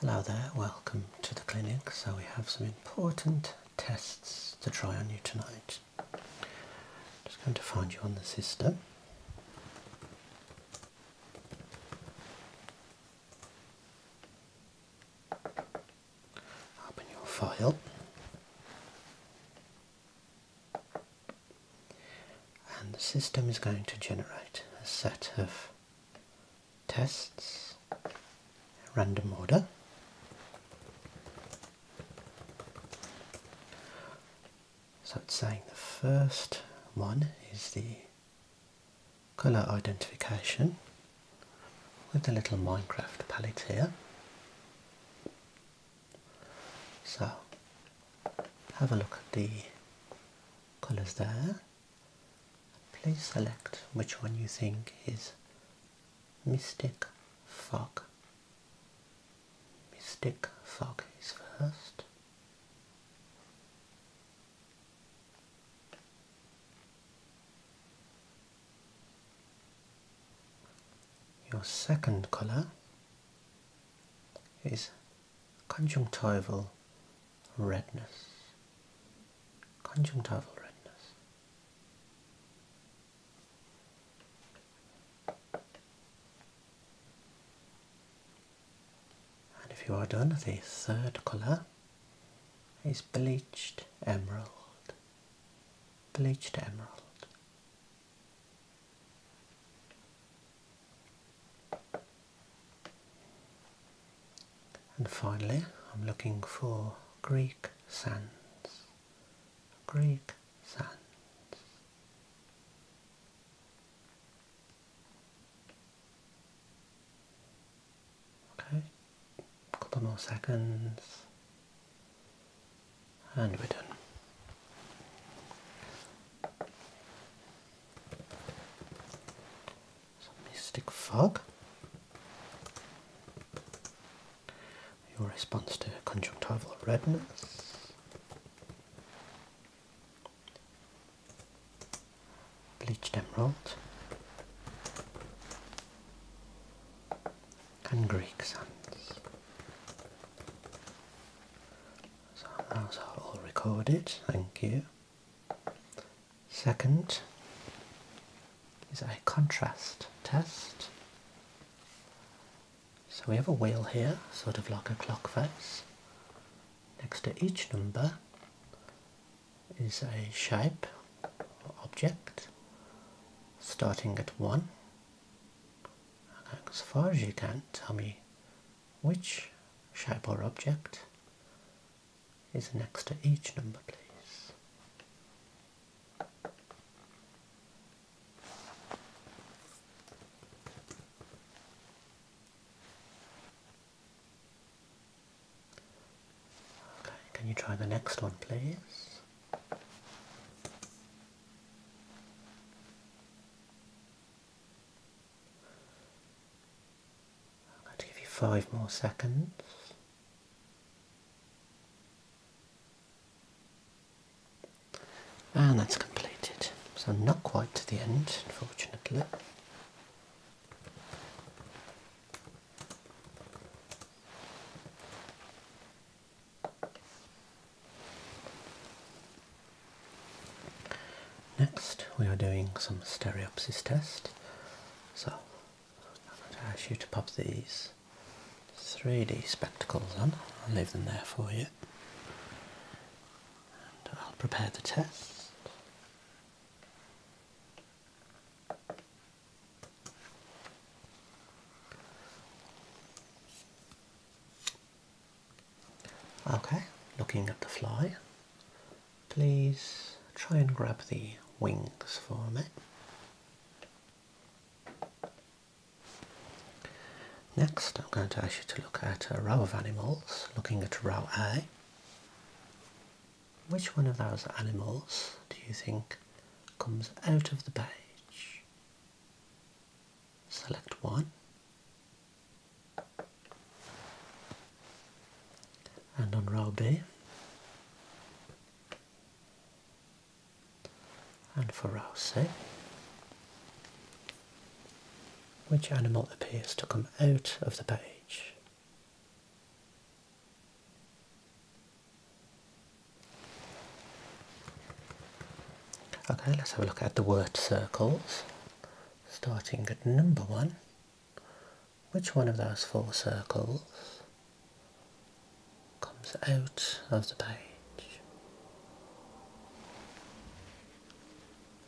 Hello there, welcome to the clinic. So we have some important tests to try on you tonight. Just going to find you on the system. Open your file. And the system is going to generate a set of tests, random order. So it's saying the first one is the colour identification with the little Minecraft palette here. So have a look at the colours there. Please select which one you think is Mystic Fog. Mystic Fog is first. Your second color is conjunctival redness. Conjunctival redness. And if you are done, the third colour is bleached emerald. Bleached emerald. And finally, I'm looking for Greek sands. Greek sands. Okay, a couple more seconds. And we're done. Some mystic fog. Your response to conjunctival redness. Bleached emerald. And Greek sands. So those are all recorded, thank you. Second is a contrast test. So we have a wheel here, sort of like a clock face. Next to each number is a shape or object starting at 1. As far as you can, tell me which shape or object is next to each number, please. Okay, can you try the next one, please? I'm going to give you five more seconds. And that's completed. So not quite to the end, unfortunately. Next, we are doing some stereopsis test. So, I'm going to ask you to pop these 3D spectacles on. I'll leave them there for you. I'll prepare the test. Okay, looking at the fly, please try and grab the wings for me. Next, I'm going to ask you to look at a row of animals, looking at row A. Which one of those animals do you think comes out of the page? Select one and on row B. And for row C. Which animal appears to come out of the page? Okay, let's have a look at the word circles starting at number one, which one of those four circles comes out of the page?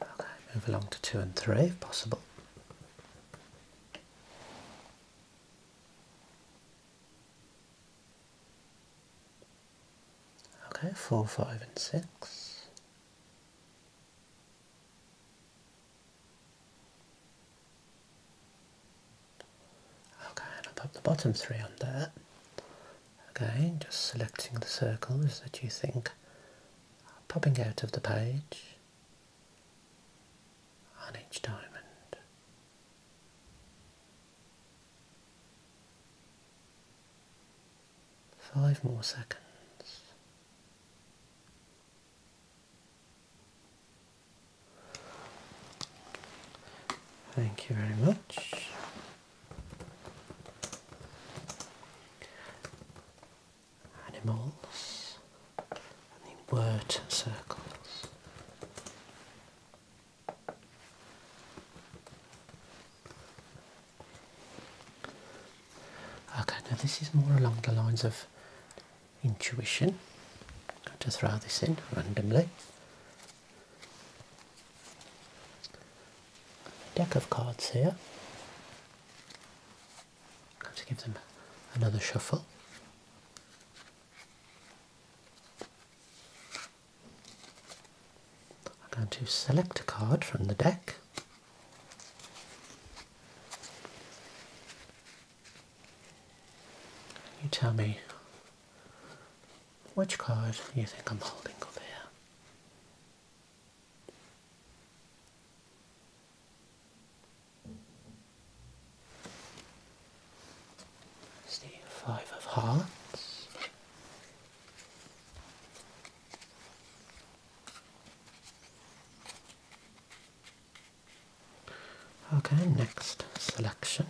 Okay, move along to two and three if possible. Okay, four, five and six. Okay, and I'll pop the bottom three on there. Again, just selecting the circles that you think popping out of the page on each diamond. Five more seconds. Thank you very much. Animals and the word circles. Okay, now this is more along the lines of intuition. I'm going to throw this in randomly. Deck of cards here. I'm going to give them another shuffle. I'm going to select a card from the deck. You tell me which card you think I'm holding over here. Five of Hearts. Okay, next selection.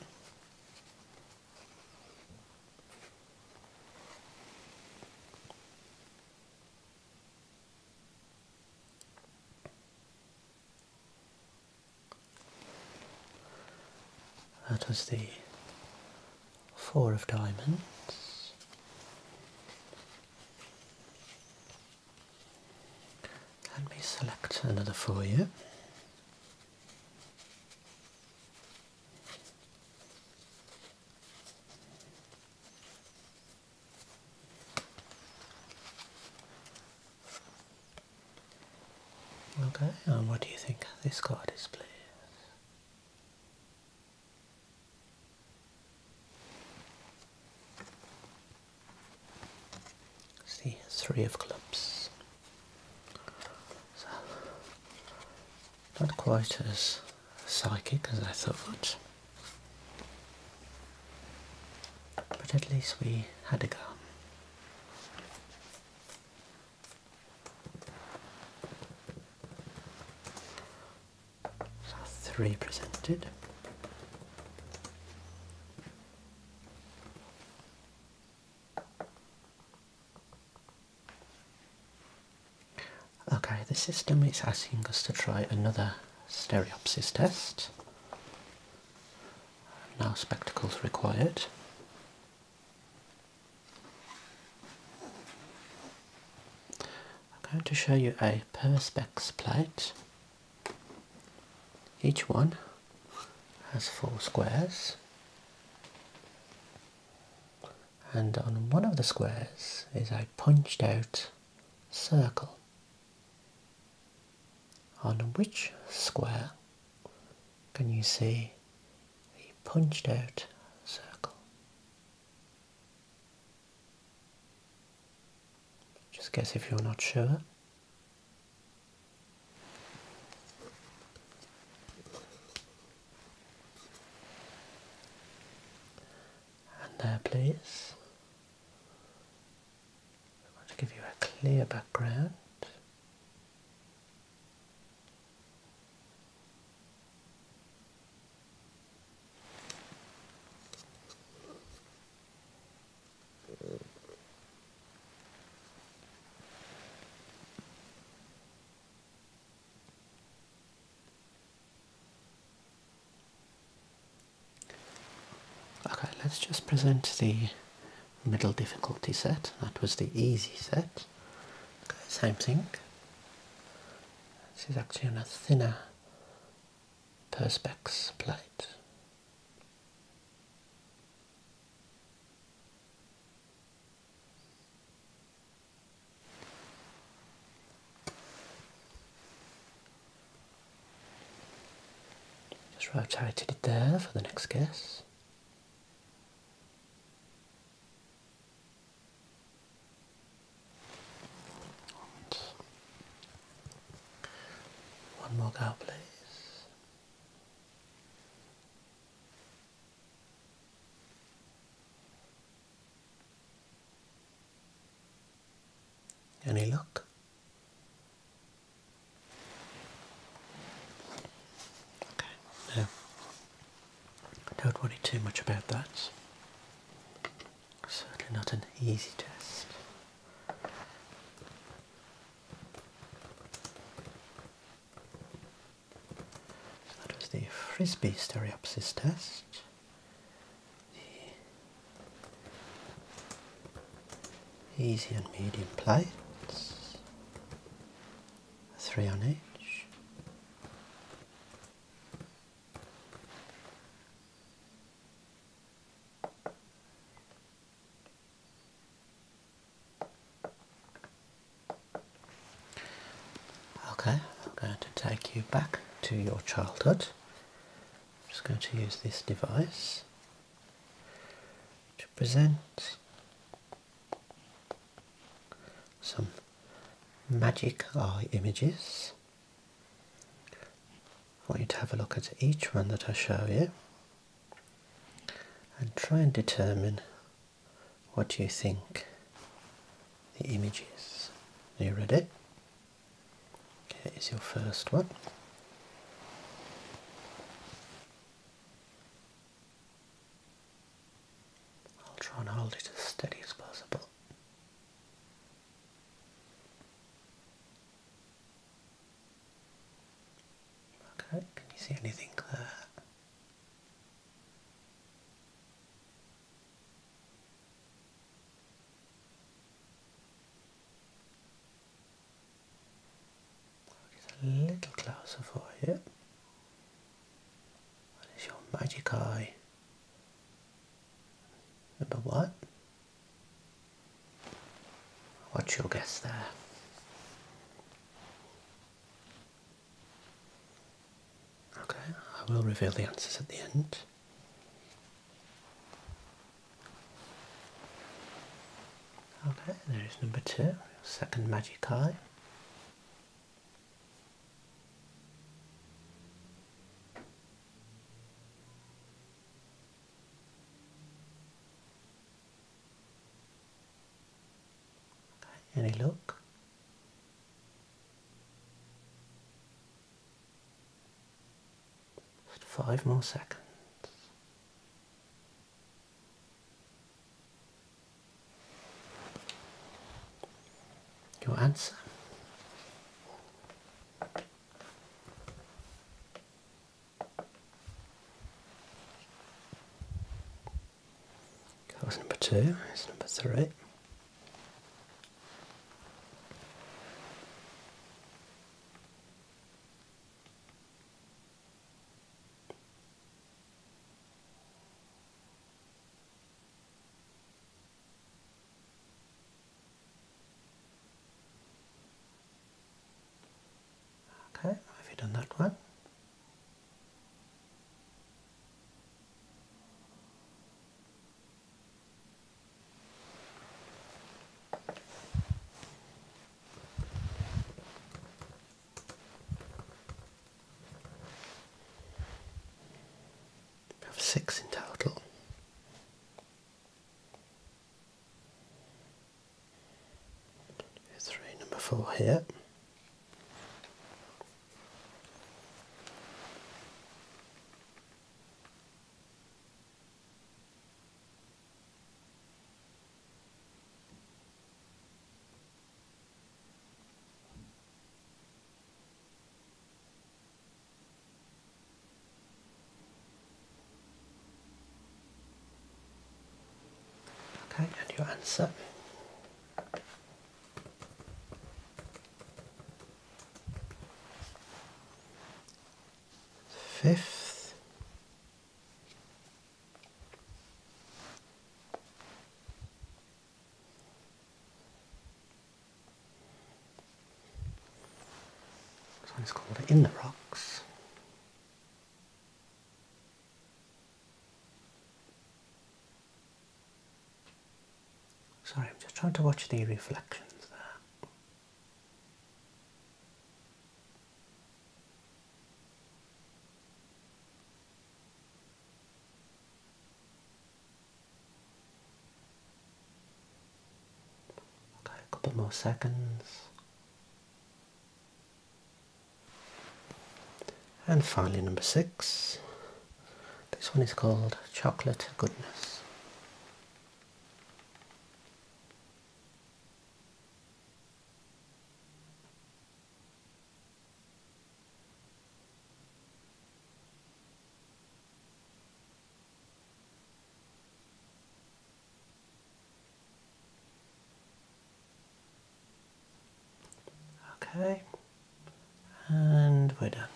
That was the four of diamonds, let me select another for you. Okay, and what do you think this card is, please? See, three of clubs. not quite as psychic as I thought, but at least we had a go three presented. Okay, the system is asking us to try another stereopsis test. Now spectacles required. I'm going to show you a perspex plate. Each one has four squares and on one of the squares is a punched out circle. On which square can you see the punched out circle? Just guess if you're not sure. And there please. I want to give you a clear background. Okay, let's just present the middle difficulty set. That was the easy set. same thing. This is actually on a thinner perspex plate. Just rotated it there for the next guess. One more go, please. Any luck? Okay, don't worry too much about that. Certainly not an easy test. So that was the Frisbee stereopsis test. easy and medium plates. Three on each. Okay, I'm going to take you back to your childhood. I'm just going to use this device to present some magic eye images. I want you to have a look at each one that I show you and try and determine what you think the image is. Are you ready? Here is your first one. I'll try and hold it as steady as possible. Okay, can you see anything there? i a little closer for you. What is your magic eye? Number what? What's your guess there? Okay, I will reveal the answers at the end. Okay, there is number two. Second magic eye. Any look? Just five more seconds. Your answer. That number two, it's number three. Okay, have you done that one? We have six in total. Three, number four here. Okay, and your answer. Fifth. So it's called In the Rocks. Sorry, I'm just trying to watch the reflections there. Okay, a couple more seconds. And finally number six. This one is called Chocolate Goodness. Okay, and we're done.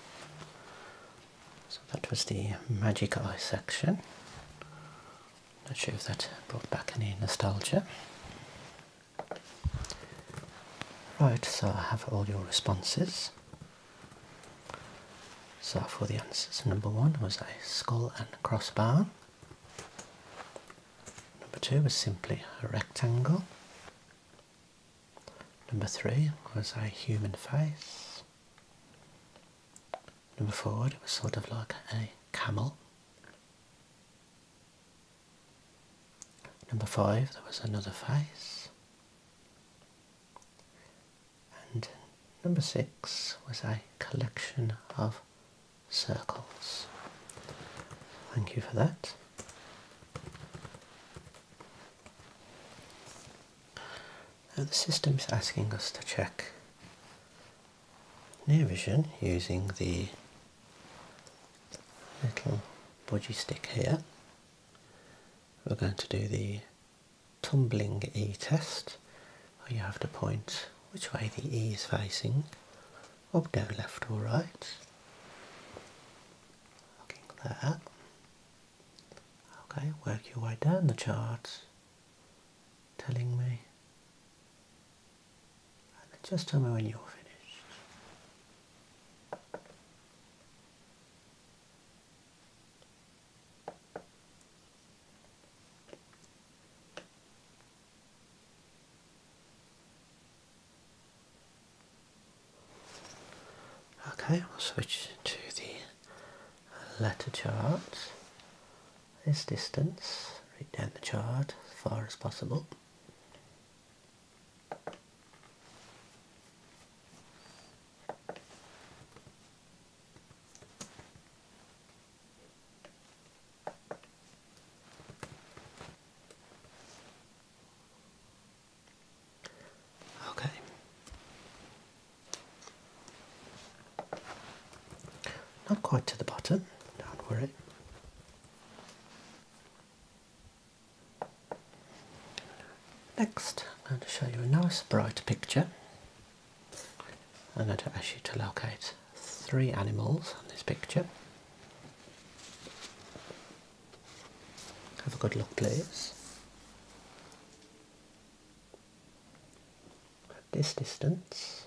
So that was the magic eye section. Not sure if that brought back any nostalgia. Right, so I have all your responses. So for the answers, number one was a skull and crossbar. Number two was simply a rectangle. Number three was a human face. Number four, it was sort of like a camel. Number five, there was another face. And number six was a collection of circles. Thank you for that. Now the is asking us to check near vision using the little budgie stick here. We're going to do the tumbling E test you have to point which way the E is facing, up, down, left or right. Looking there. Okay, work your way down the chart telling me just tell me when you're finished. Okay, we'll switch to the letter chart. This distance, read down the chart as far as possible. Okay. Not quite to the bottom, don't worry. Next, I'm going to show you a nice bright picture. I'm going to ask you to locate three animals on this picture. Have a good look please. At this distance,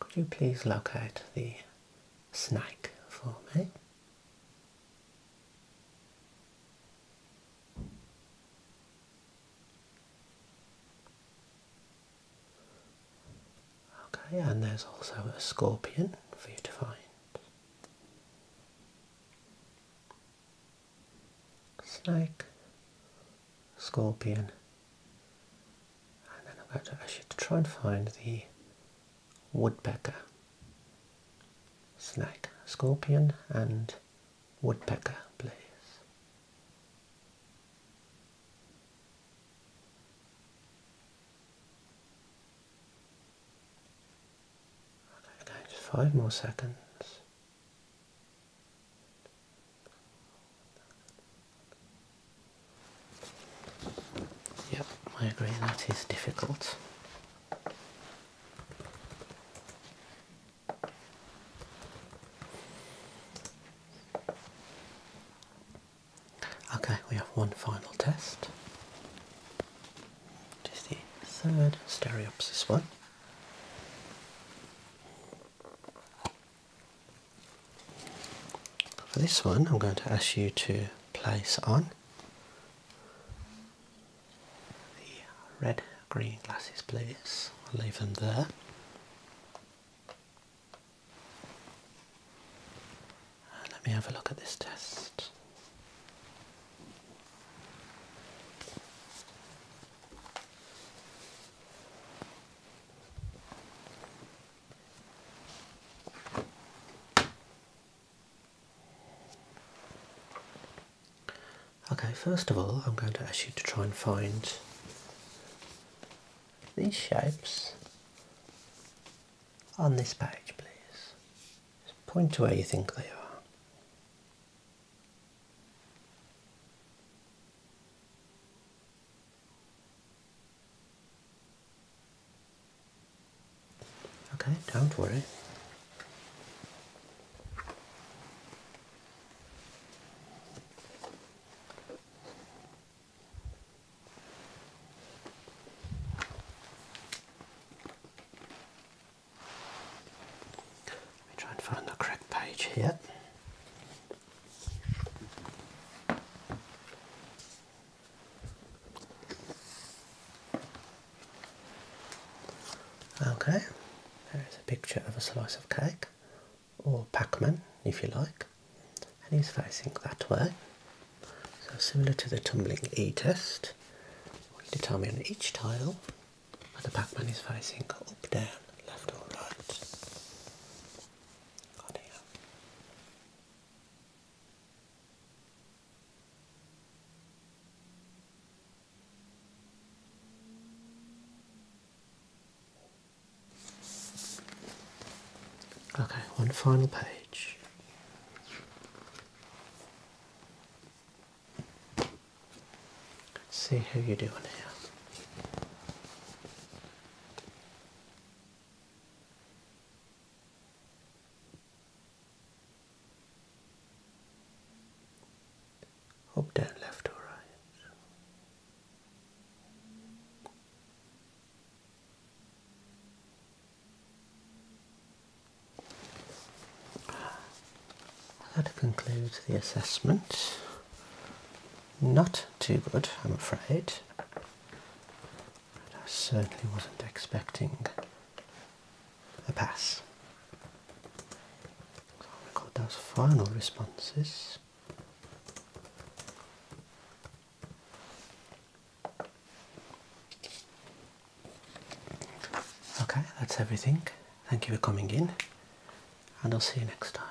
could you please locate the Snake for me. Okay, and there's also a scorpion for you to find. Snake, scorpion, and then I'm going to ask you to try and find the woodpecker. Snake, scorpion and woodpecker, please. Okay, just five more seconds. Yep, I agree, that is difficult. Okay, we have one final test. Just the third stereopsis one. For this one, I'm going to ask you to place on the red green glasses, please. I'll leave them there. let me have a look at this test. Okay, first of all, I'm going to ask you to try and find these shapes on this page, please. point to where you think they are. Okay, don't worry. Let me try and find the correct page here. Okay, there is a picture of a slice of cake, or Pac-Man if you like, and he's facing that way. So similar to the tumbling E test, we need to tell me on each tile where the Pac-Man is facing up, down, left or right. Okay, one final page. Let's see how you're doing here. Up, down, left, or right. That concludes the assessment. Not too good, I'm afraid. I certainly wasn't expecting a pass. I'll record those final responses. Okay, that's everything. Thank you for coming in, and I'll see you next time.